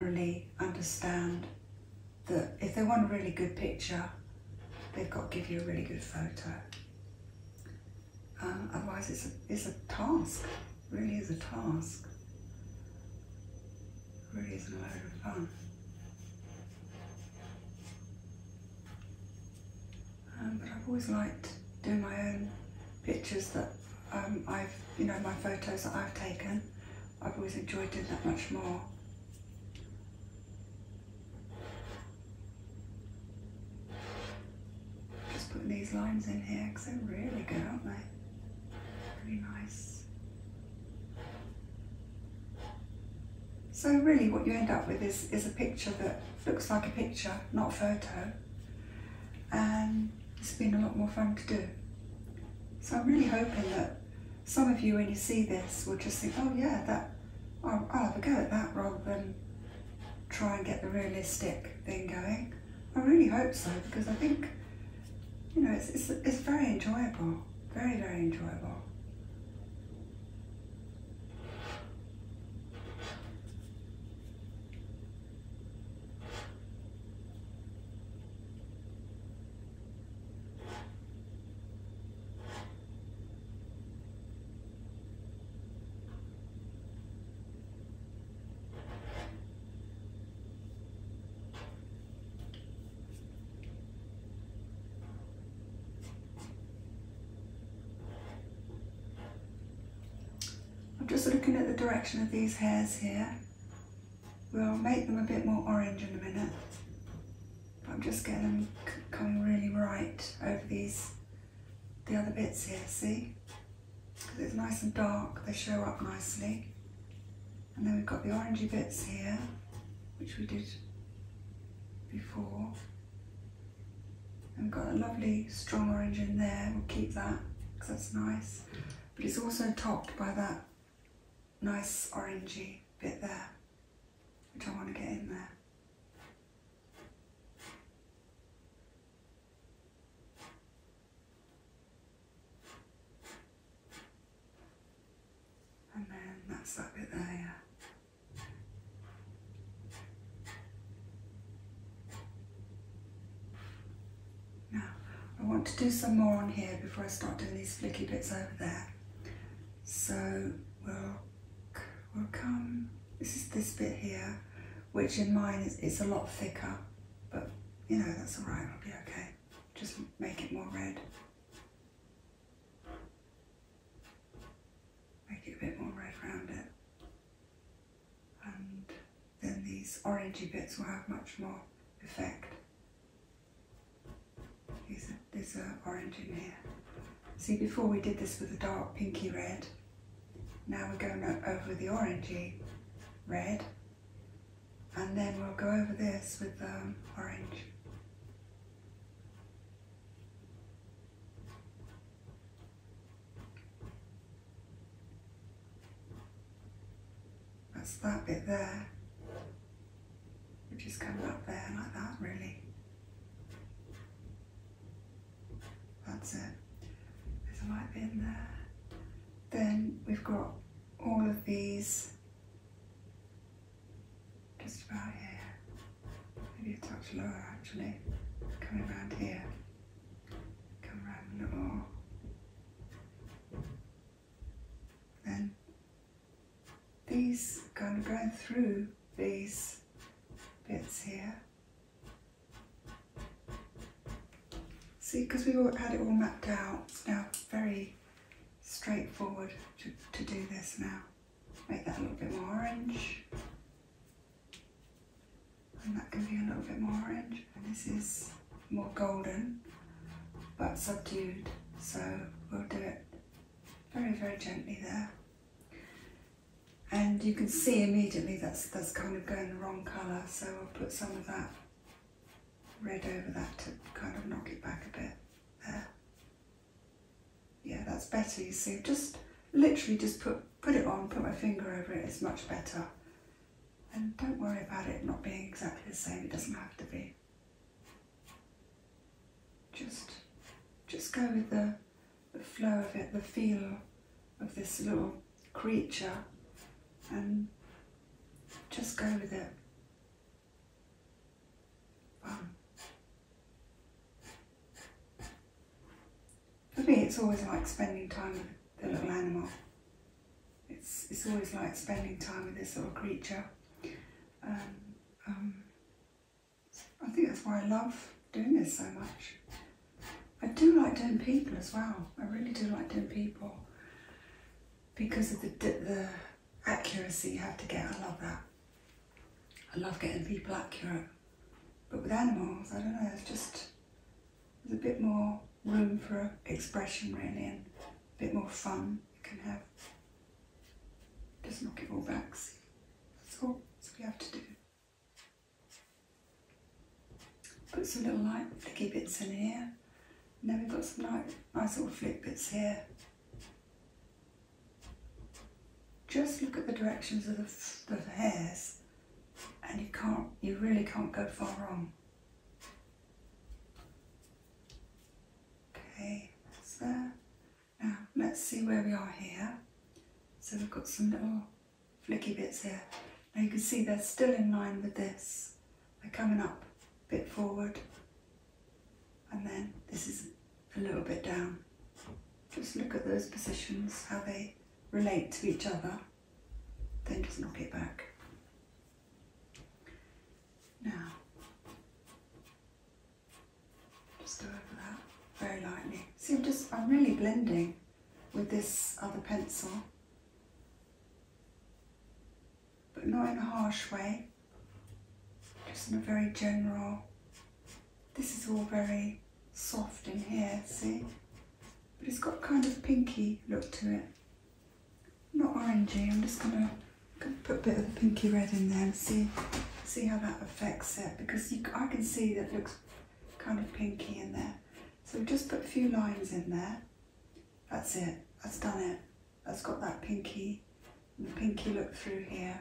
really understand that if they want a really good picture, they've got to give you a really good photo. Uh, otherwise, it's a, it's a task, really is a task. really isn't a load of fun. Um, but I've always liked doing my own pictures that um, I've, you know, my photos that I've taken I've always enjoyed doing that much more. Just putting these lines in here because they're really good, aren't they? Really nice. So really what you end up with is, is a picture that looks like a picture, not a photo. And it's been a lot more fun to do. So I'm really hoping that some of you, when you see this, will just think, oh yeah, that I'll, have a go at that rather than try and get the realistic thing going. I really hope so because I think, you know, it's, it's very enjoyable, very, very enjoyable. I'm just looking at the direction of these hairs here We'll make them a bit more orange in a minute. I'm just getting them come really right over these, the other bits here, see? Because it's nice and dark, they show up nicely. And then we've got the orangey bits here, which we did before. And we've got a lovely strong orange in there, we'll keep that because that's nice but it's also topped by that nice orangey bit there, which I want to get in there. And then that's that bit there, yeah. Now, I want to do some more on here before I start doing these flicky bits over there. So we'll, we'll come, this is this bit here, which in mine is, is a lot thicker, but you know, that's all right. I'll be okay. Just make it more red. Make it a bit more red round it. And then these orangey bits will have much more effect. There's a, orangey here. See, before we did this with the dark pinky red. Now we're going over the orangey red. And then we'll go over this with um, orange. That's that bit there, We're just coming up there like that, really. That's it. There's a light in there. Then we've got all of these just about here, maybe a touch lower actually, coming around here, come around a little more. And these, kind of going through these bits here. See, because we all had it all mapped out, it's now very straightforward to, to do this now. Make that a little bit more orange and that gives you a little bit more orange. And this is more golden, but subdued. So we'll do it very, very gently there. And you can see immediately that's, that's kind of going the wrong colour, so I'll put some of that red over that to kind of knock it back a bit there. Yeah, that's better, you see. Just literally just put, put it on, put my finger over it, it's much better. And don't worry about it not being exactly the same, it doesn't have to be. Just, just go with the, flow of it, the feel of this little creature, and just go with it for me, it's always like spending time with the little animal. It's, it's always like spending time with this little creature. Um, um, I think that's why I love doing this so much. I do like doing people as well. I really do like doing people because of the, the accuracy you have to get. I love that. I love getting people accurate. But with animals, I don't know, it's just, there's a bit more room for expression really and a bit more fun you can have. Just knock it all back. See? That's all that's we have to do. Put some little light flicky bits in here. And then we've got some nice, nice little flick bits here. Just look at the directions of the hairs and you can't, you really can't go far wrong. Okay, that's there. Now let's see where we are here. So we've got some little flicky bits here. Now you can see they're still in line with this. They're coming up a bit forward and then this is a little bit down. Just look at those positions, how they relate to each other then just knock it back. Now, just go over that very lightly. See, I'm just, I'm really blending with this other pencil, but not in a harsh way, just in a very general, this is all very soft in here, see? But it's got kind of pinky look to it. Not orangey, I'm just gonna, put a bit of the pinky red in there and see see how that affects it because I can see that looks kind of pinky in there. So just put a few lines in there. That's it, that's done it. That's got that pinky, pinky look through here.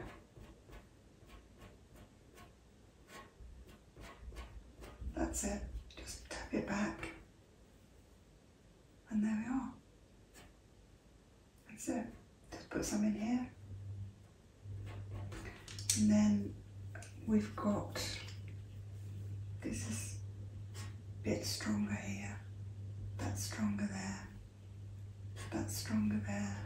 That's it. Just tap it back. And there we are. That's it. Just put some in here. And then we've got, this is bit stronger here. That's stronger there. That's stronger there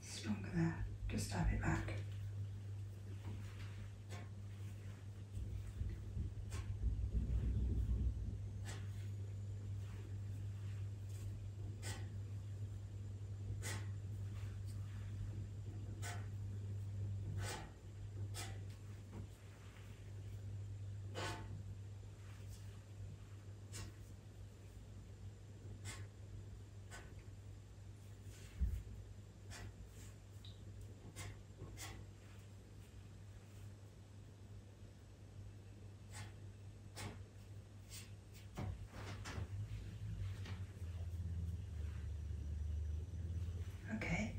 stronger there. Just tap it back. Okay,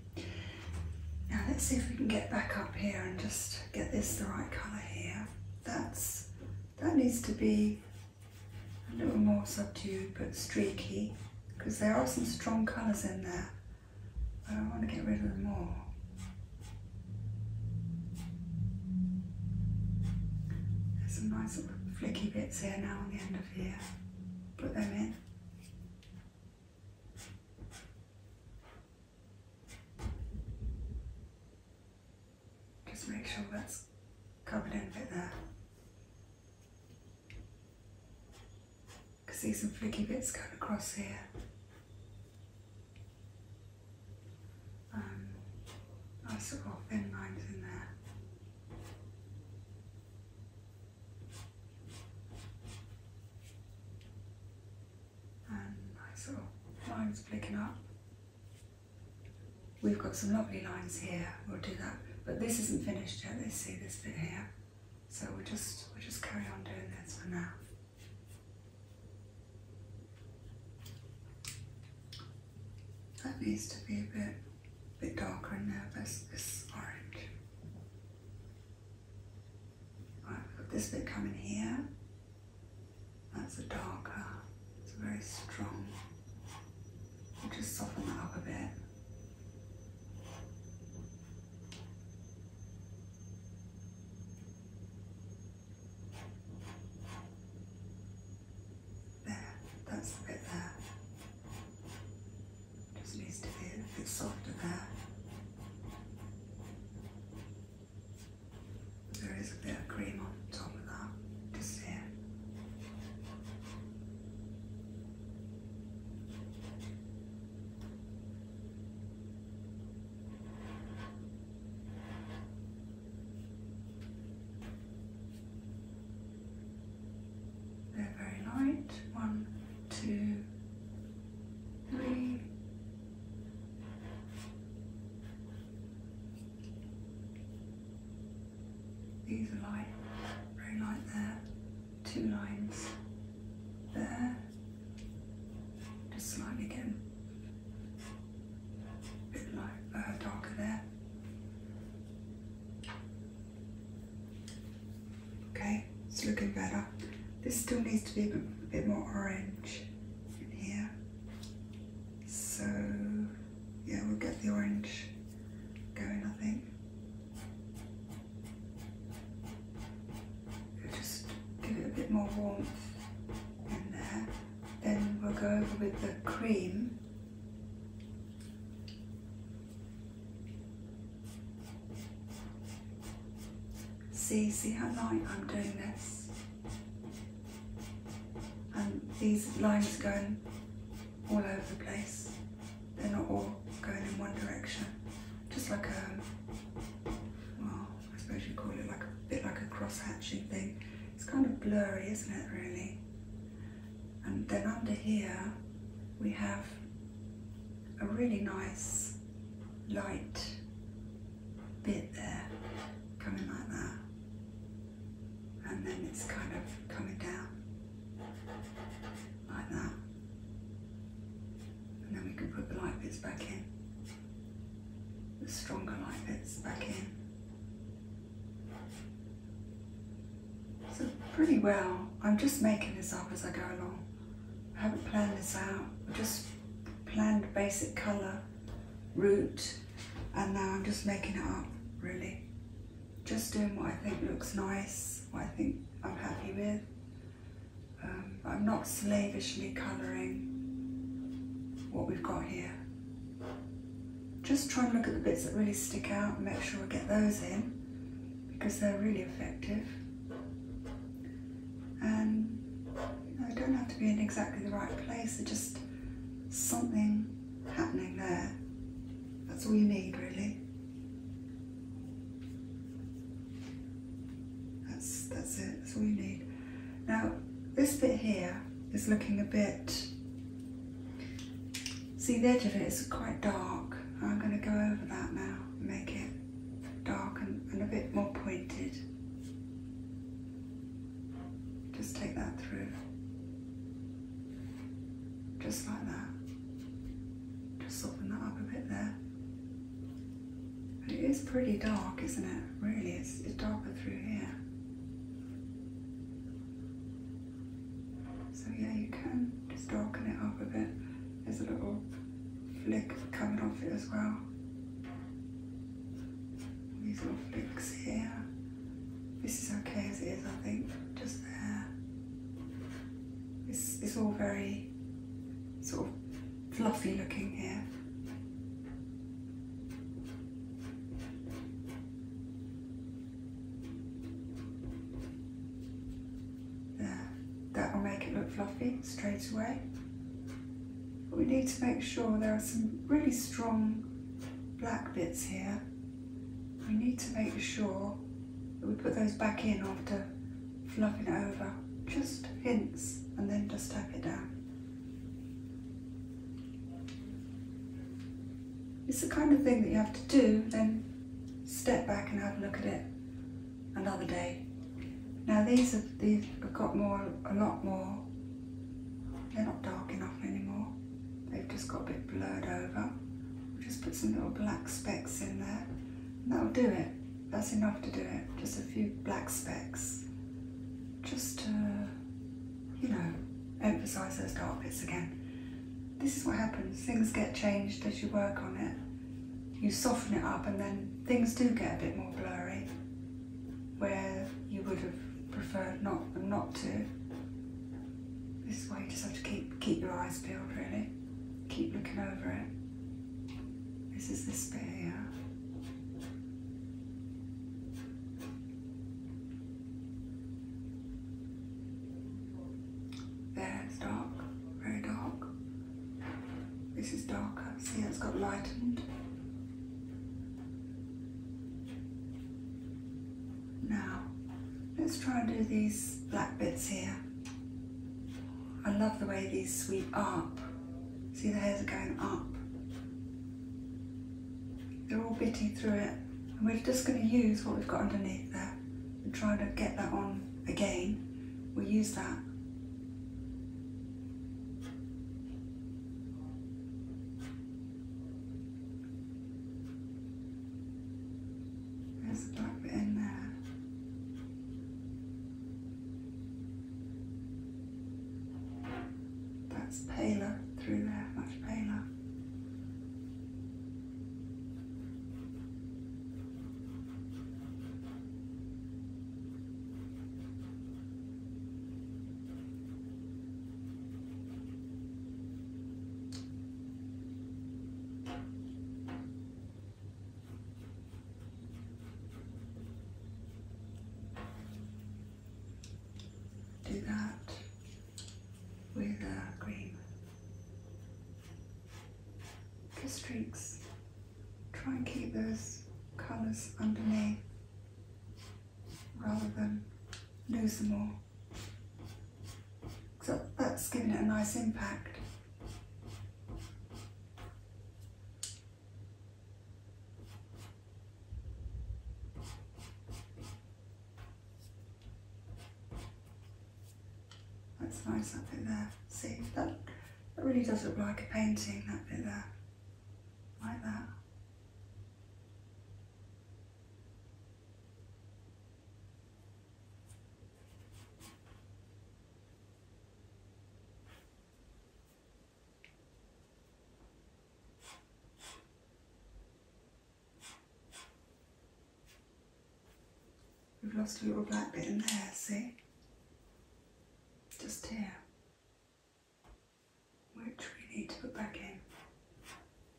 now let's see if we can get back up here and just get this the right colour here. That's that needs to be a little more subdued but streaky because there are some strong colours in there. I want to get rid of them all. There's some nice little flicky bits here now on the end of here. Put them in. Just make sure that's covered in fit there. I can see some flicky bits going across here. Um, nice little thin lines in there. And nice little lines flicking up. We've got some lovely lines here, we'll do that. But this isn't finished yet, let see this bit here. So we'll just, we'll just carry on doing this for now. That needs to be a bit, bit darker in there, but this orange. Right, we've got this bit coming here. That's a darker. It's very strong. I will just soften that up a bit. There, that's the bit there. Just needs to be a bit softer there. There is a bit of cream on top of that Just see They're very light. One, two, three, these are light, very light there. Two lines there. Just slightly again. A bit light, uh, darker there. Okay, it's looking better. This still needs to be a bit more orange in here. So yeah, we'll get the orange going, I think. just give it a bit more warmth in there. Then we'll go over with the cream. See, see how light I'm doing this? And these lines are going all over the place. They're not all going in one direction. Just like a, well, I suppose you call it like a bit like a cross-hatching thing. It's kind of blurry, isn't it, really? And then under here, we have a really nice light bit there, coming like that and then it's kind of coming down like that. And then we can put the light bits back in, the stronger light bits back in. So pretty well, I'm just making this up as I go along. I haven't planned this out, I just planned basic colour, root, and now I'm just making it up really just doing what I think looks nice what I think I'm happy with um, I'm not slavishly colouring what we've got here just try and look at the bits that really stick out and make sure I get those in because they're really effective and I don't have to be in exactly the right place. they just something happening there. That's all you need, really. That's, that's it, that's all you need. Now, this bit here is looking a bit... See, the edge of it is quite dark. I'm going to go over that now make it dark and a bit more pointed. Just take that through. Just like that. Just soften that up a bit there. And it is pretty dark, isn't it? Really, it's, it's darker through here. So yeah, you can just darken it up a bit. There's a little flick coming off it as well. These little flicks here. This is okay as it is, I think. Just there. It's, it's all very sort of fluffy looking here. There. That will make it look fluffy straight away we need to make sure there are some really strong black bits here. We need to make sure that we put those back in after fluffing it over. Just hints and then just tap it down. It's the kind of thing that you have to do, then step back and have a look at it another day. Now these have got more, a lot more they're not dark enough anymore. They've just got a bit blurred over. We'll just put some little black specks in there. that'll do it. That's enough to do it. Just a few black specks. Just to, you know, emphasise those dark bits again. This is what happens. Things get changed as you work on it. You soften it up and then things do get a bit more blurry where you would have preferred not not to. This is why you just have to keep keep your eyes peeled really. Keep looking over it. This is the spare. There, it's dark, very dark. This is darker. See, it's got lightened. Now, let's try and do these black bits here. I love the way these sweep up. See the hairs are going up. They're all bitty through it. And we're just going to use what we've got underneath there and try to get that on again. We'll use that there's a bump in there. That's paler through there, much paler. Do that with a uh, green For streaks, try and keep those colours underneath rather than lose them all. So that's giving it a nice impact. That's nice, that bit there. See, that, that really does look like a painting, that bit there like that. We've lost a little black bit in there, see? Just here which we need to put back in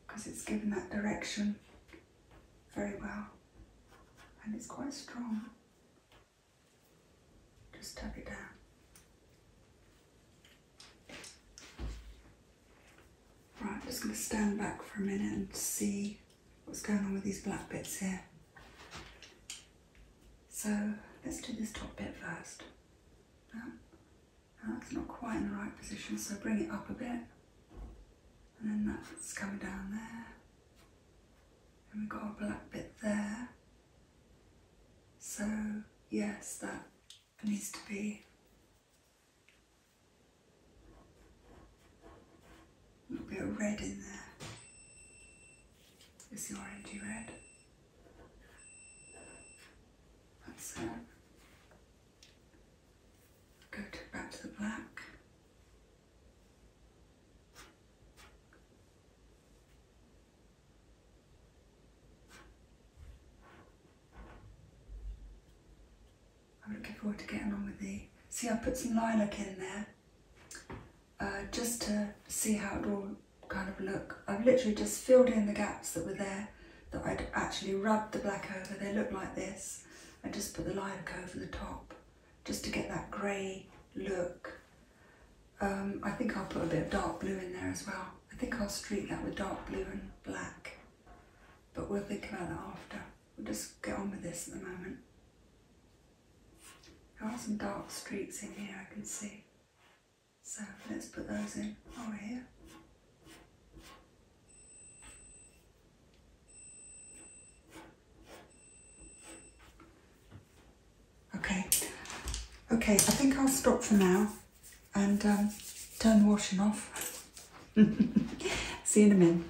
because it's given that direction very well and it's quite strong. Just tap it down. Right, I'm just going to stand back for a minute and see what's going on with these black bits here. So let's do this top bit first. that's not quite in the right position, so bring it up a bit. And then that's coming down there. And we've got a black bit there. So yes, that needs to be a little bit of red in there. It's the orangey red. That's it. Go back to the black. I'm looking forward to getting on with the. See, I put some lilac in there uh, just to see how it all kind of look. I've literally just filled in the gaps that were there that I'd actually rubbed the black over. They look like this. I just put the lilac over the top just to get that grey look. Um, I think I'll put a bit of dark blue in there as well. I think I'll streak that with dark blue and black, but we'll think about that after. We'll just get on with this at the moment. There are some dark streaks in here I can see. So let's put those in over here. Okay, okay, I think I'll stop for now and um, turn the washing off. See you in a minute.